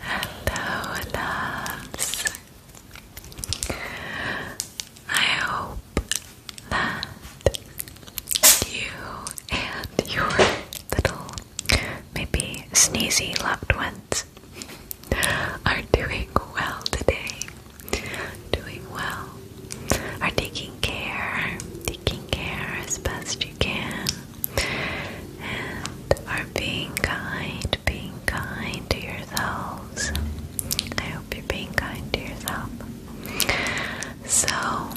Hello, loves. I hope that you and your little, maybe sneezy loved ones are doing well today doing well, are taking care, taking care as best you can, and are being kind, being kind to yourselves. I hope you're being kind to yourself. So,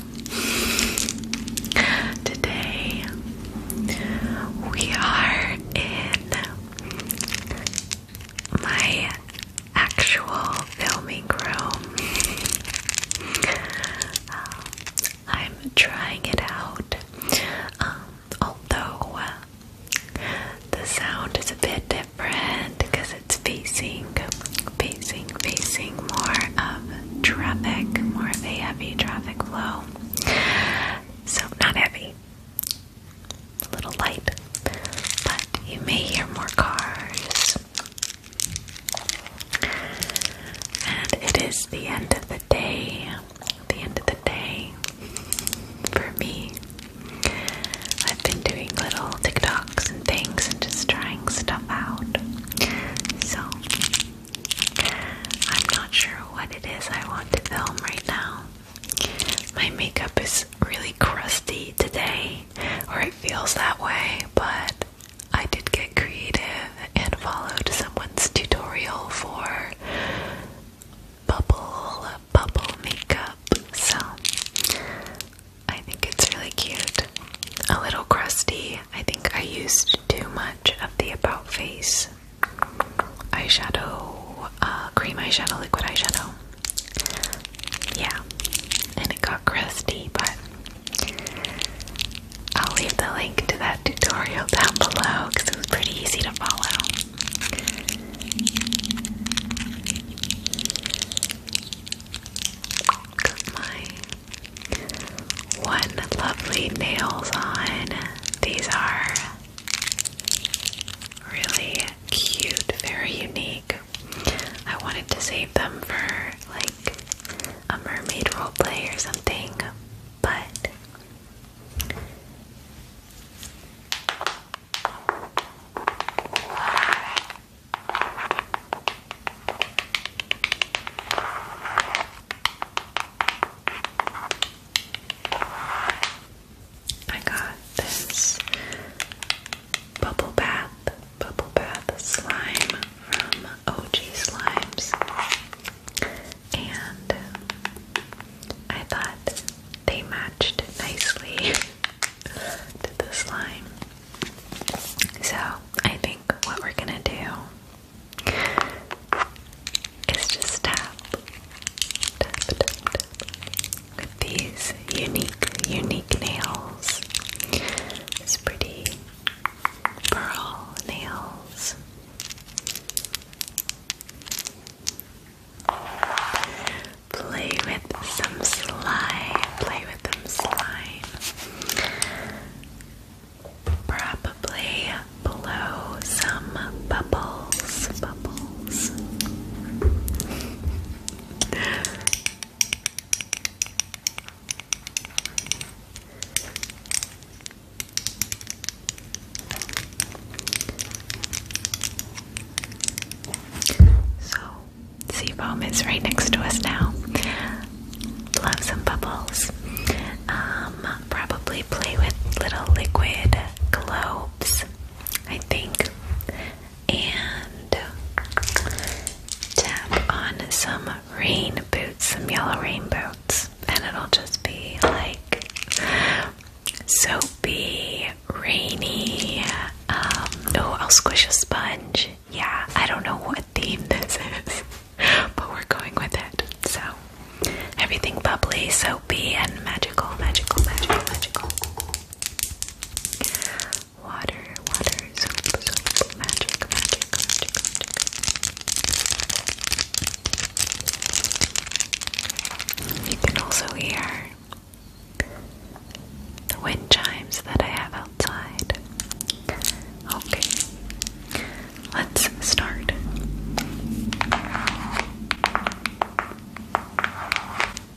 today we are in my actual filming room. Um, I'm trying it out, um, although uh, the sound is a bit different because it's facing, facing, facing more of traffic, more of a heavy traffic flow. So, not heavy, a little light, but you may hear more cars. And it is the end of the day. The end of the day for me. I've been doing little TikToks and things and just trying stuff out. So I'm not sure what it is I want to film right now. My makeup is really crusty today, or it feels that way, but I did get creative and followed someone's tutorial for bubble bubble makeup. So I think it's really cute. A little crusty. I think I used too much of the about face eyeshadow, uh, cream eyeshadow, liquid eyeshadow yeah, and it got crusty, but I'll leave the link to that tutorial down below because it was pretty easy to follow. my one lovely nails on. These are really cute, very unique, I wanted to save them for like a mermaid roleplay or something, but I got this bubble bath, bubble bath slime from OG Slimes, and I thought they matched nicely to the slime. So I think what we're gonna do is just tap, tap, tap, tap. With these unique, unique nails. These pretty pearl nails. Play with some slime. Play with them slime. Probably blow some bubbles. Bubbles. So, sea foam is right next to us now. Love some bubbles. Um, probably play with little liquid globes. I think and tap on some rain boots, some yellow rain boots, and it'll just be like soapy, rainy. oh, I'll squish a sponge. Yeah, I don't know what theme this is, but we're going with it. So, everything bubbly, soapy, and magical, magical, magical, magical. Water, water, soap, soap, magic, magic, magic, magic. You can also hear the wind chimes that I have outside. Okay, let's start.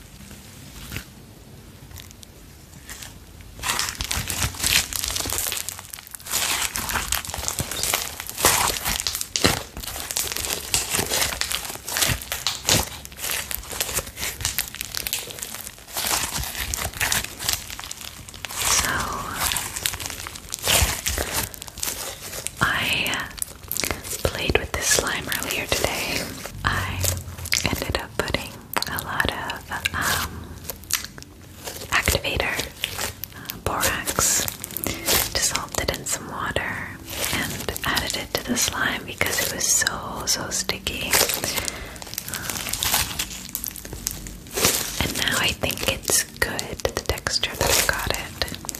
So I played with this slime earlier today, I ended up putting a lot of um, activator, uh, borax, dissolved it in some water, and added it to the slime because it was so, so sticky. Um, and now I think it's good, the texture that I got it.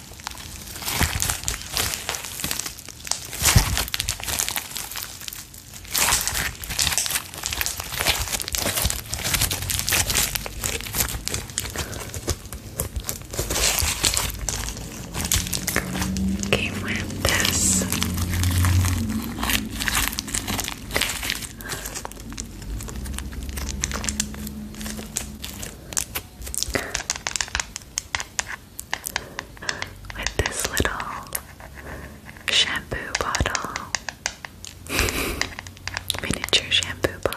Came with with this little shampoo bottle, miniature shampoo bottle.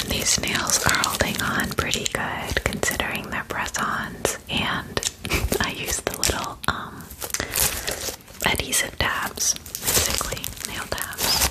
And these nails are holding on pretty good considering they're press-ons and I use the little um, adhesive tabs, basically nail tabs.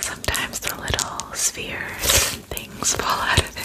Sometimes the little spheres and things fall out of it.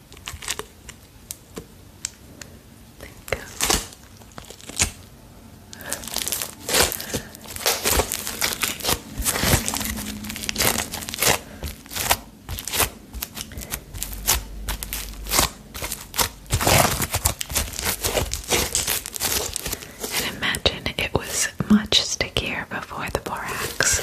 And imagine it was much stickier before the borax, so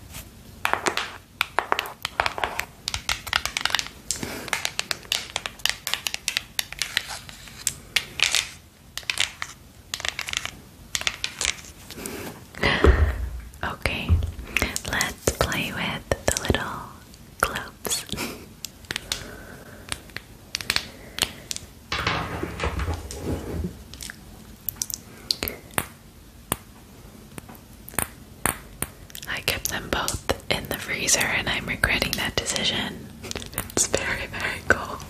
Okay, let's play with the little gloves. I kept them both in the freezer and I'm regretting that decision. It's very, very cold.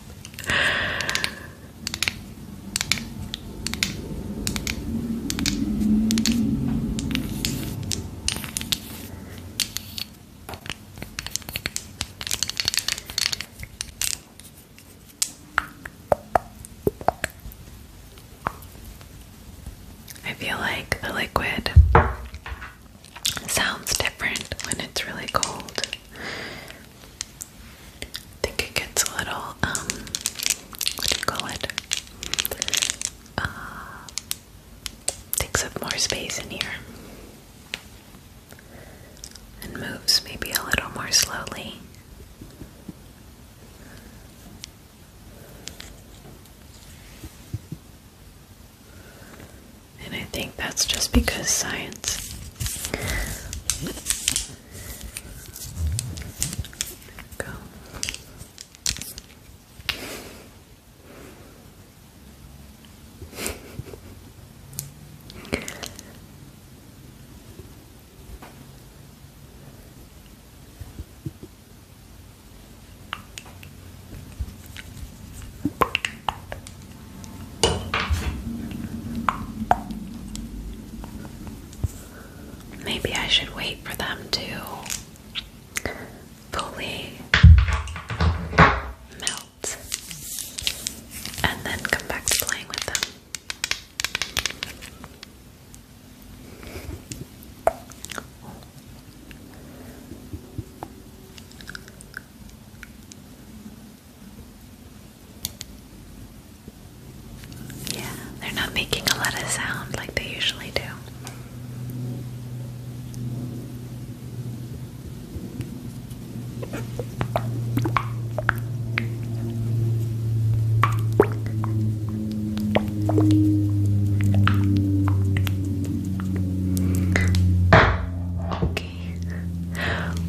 I feel like the liquid sounds different when it's really cold. I think it gets a little, um, what do you call it? Uh, takes up more space in here and moves maybe a little more slowly. And I think that's just because science. Go. Maybe I should wait for them to fully melt and then come back to playing with them. Yeah, they're not making a lot of sound like they usually do. Okay,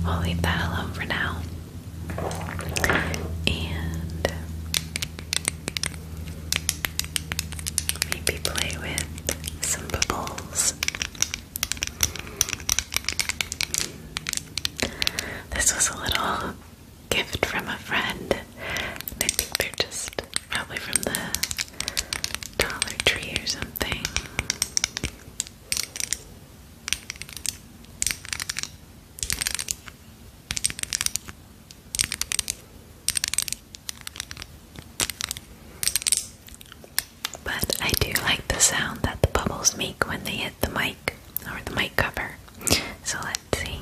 we'll leave that alone for now. And maybe play with some bubbles. This was a little gift from a friend. And I think they're just probably from the Dollar Tree or something. But I do like the sound that the bubbles make when they hit the mic or the mic cover. So let's see.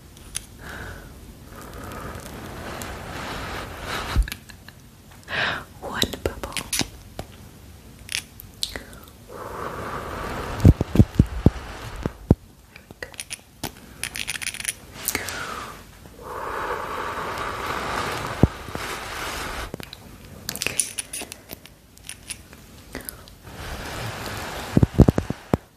One bubble. There Okay.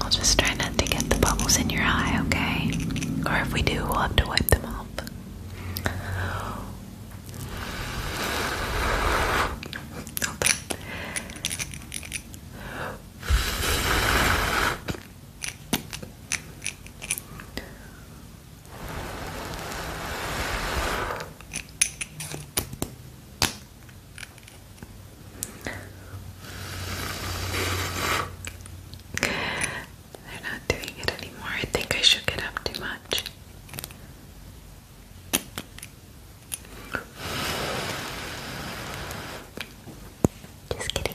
I'll just try not to get the bubbles in your eye, okay? Or if we do, we'll have to wipe them off. They're not doing it anymore. I think I shook it up too much. Just kidding.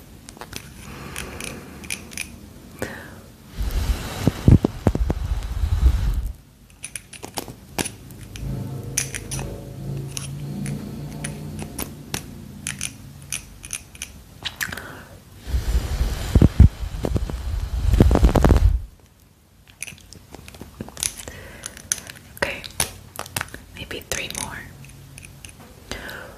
Okay, maybe three more.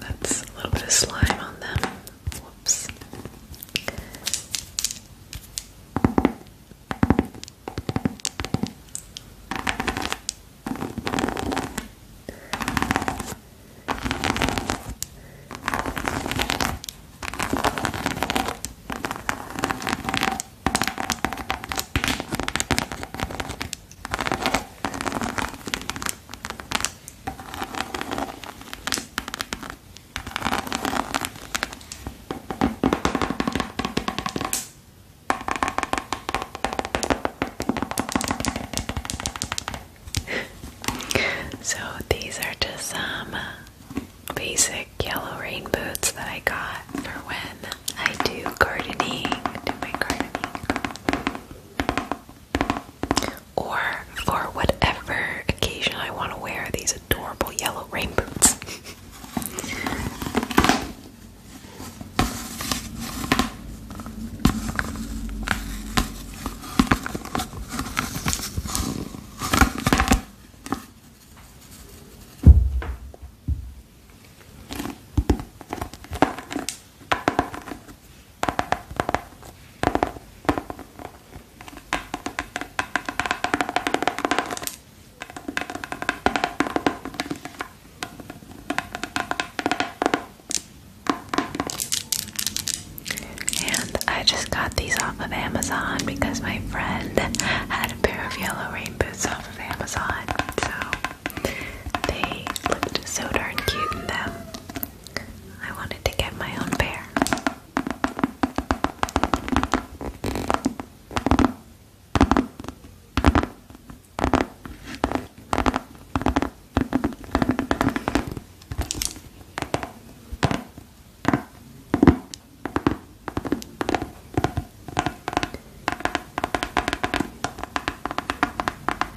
That's a little bit of slime on them. Whoops. so these are just some basic yellow rain boots that I got for when I do gardening, do my gardening or for whatever occasion I want to wear these adorable yellow rain boots. And I just got these off of Amazon because my friend had a pair of yellow rain boots off of Amazon. So they looked so darn cute in them. I wanted to get my own pair.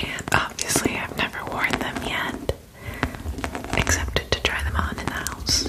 And obviously, I've never worn them yet, except to try them on in the house.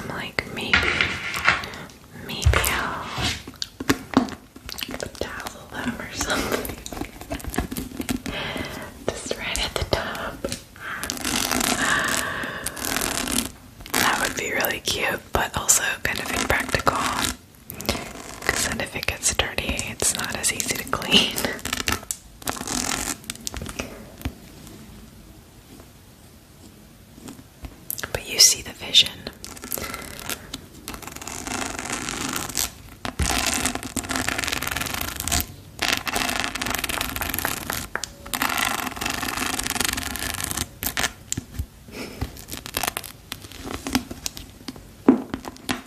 I'm like, maybe, maybe I'll dazzle them or something. Just right at the top. That would be really cute, but also kind of impractical. Because then if it gets dirty, it's not as easy to clean. But you see the vision. Okay.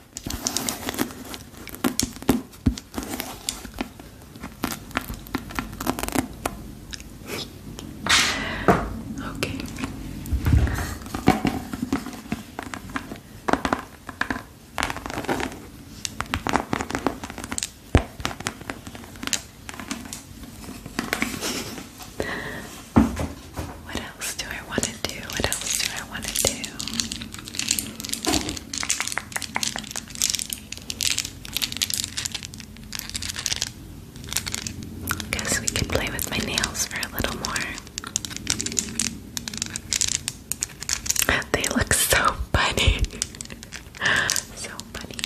What what else do I want to do? What else do I want to do? Guess we could play with my nails for a little more. They look so funny. so funny.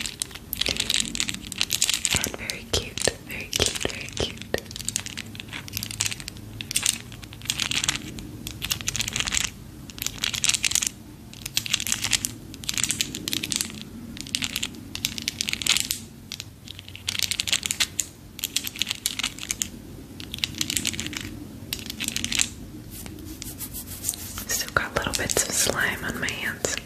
And very cute. Very cute, very cute. Still got little bits of slime on my hands.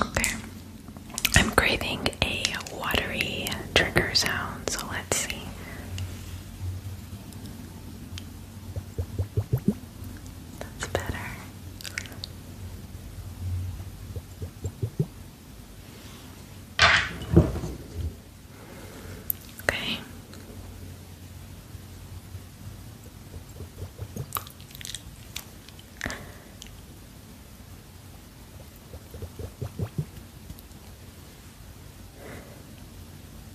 Okay. I'm craving a watery trigger sound, so let's see. That's better. Okay.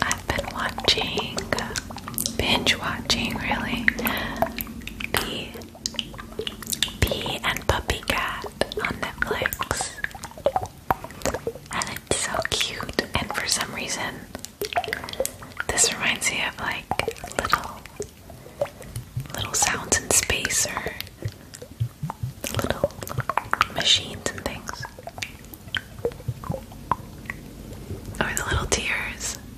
I've been watching, binge watching really, Bee and Puppy Cat on Netflix. And it's so cute, and for some reason, this reminds me of like little little sounds in space or little machines and things. Or the little tears.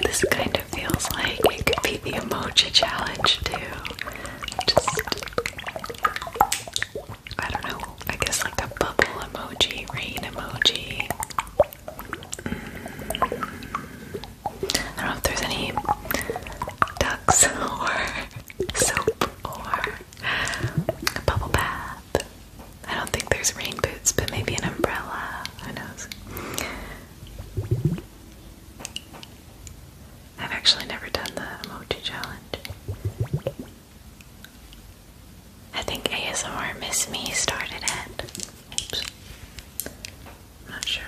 This kind of feels like it could be the emoji challenge, too just I don't know, I guess like a bubble emoji, rain emoji. Mm. I don't know if there's any ducks or soap or a bubble bath. I don't think there's rain boots, but maybe an umbrella. Who knows? I've actually never done the emoji challenge. I think ASR Miss Me started it. not sure.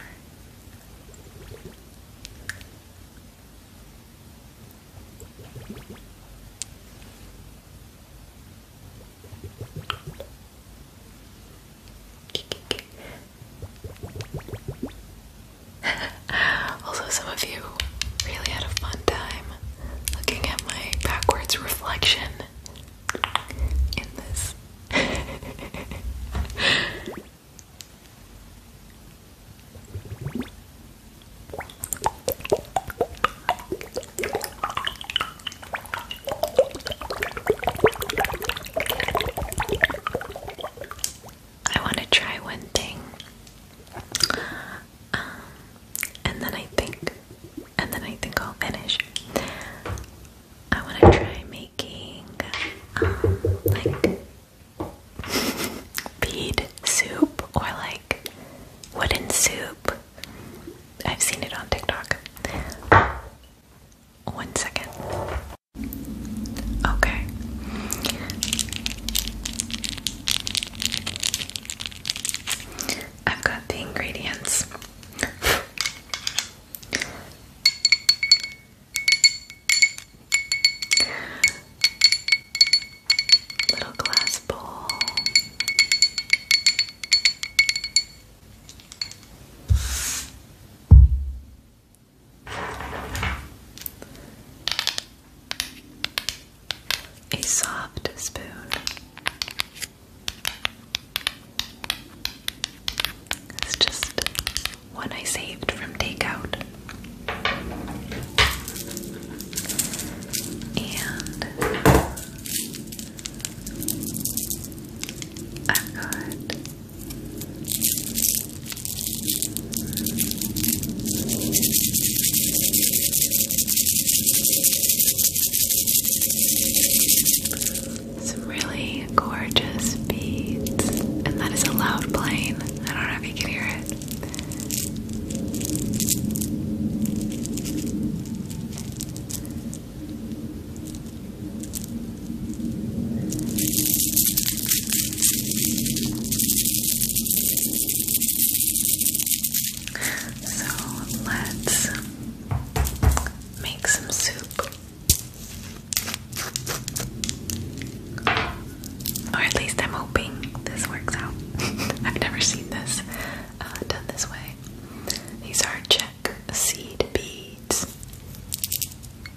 also, some of you really had a fun time looking at my backwards reflection in this. I want to try one thing. Um, and then I think, and then I think I'll finish. I want to try making um, like bead soup or like wooden soup. I've seen it on TikTok. One second. Okay. I've got the ingredients. Little glass bowl a soft spoon. It's just one I saved from takeout. And i got some really gorgeous beads, and that is a loud plane. I don't know if you can hear it. So let's make some soup. Or at least I'm hoping this works out. I've never seen this uh, done this way. These are Czech seed beads.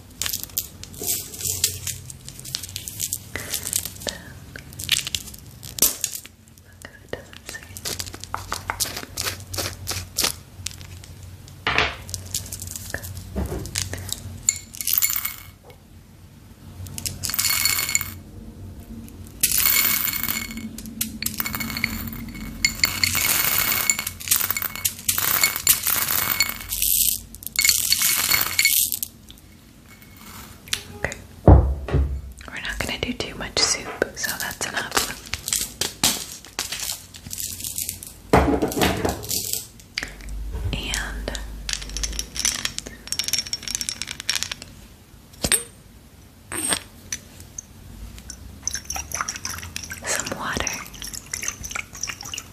it doesn't sing Okay. Okay. We're not going to do too much soup, so that's enough. And some water.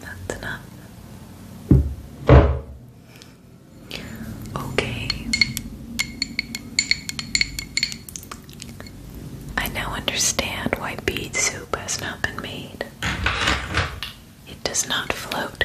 That's enough. Okay. I now understand why bead soup has not been made. It does not float.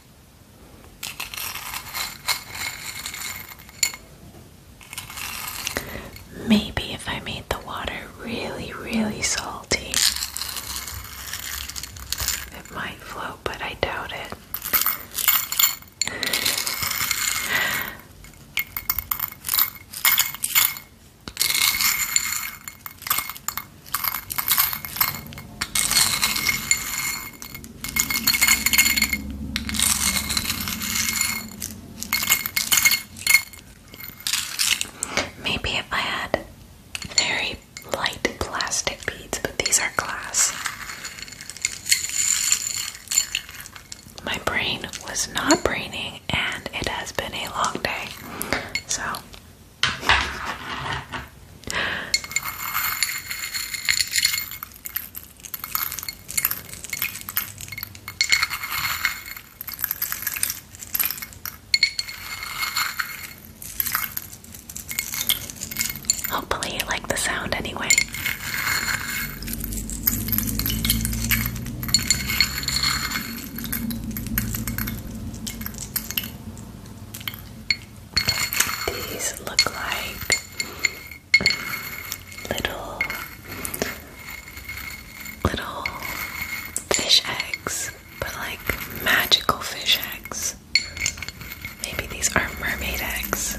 Maybe if I made the water really, really salty, it might float, but I doubt it. Maybe if I had very light plastic beads, but these are glass. My brain was not braining, and it has been a long day. So Hopefully, you like the sound anyway. These look like um, little little fish eggs, but like magical fish eggs. Maybe these are mermaid eggs.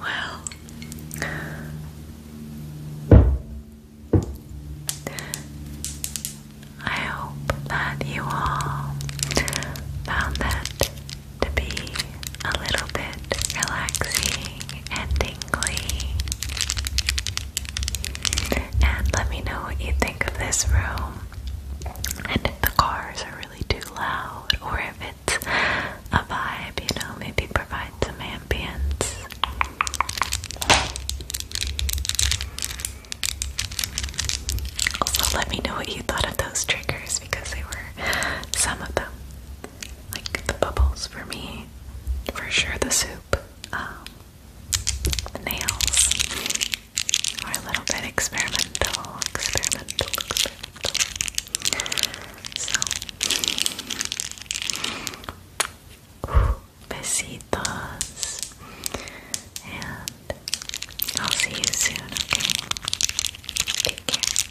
Well, I hope that you all found that to be a little bit relaxing and tingly. And let me know what you think of this room. And if the cars are really too loud, or if it's a vibe, you know, maybe provide some ambience. Also, let me know what you thought of those triggers because they were some of them. Like the bubbles for me, for sure the soup, um, the nails were a little bit experimental, experimental, experimental. So, besitos, and I'll see you soon, okay? Take care.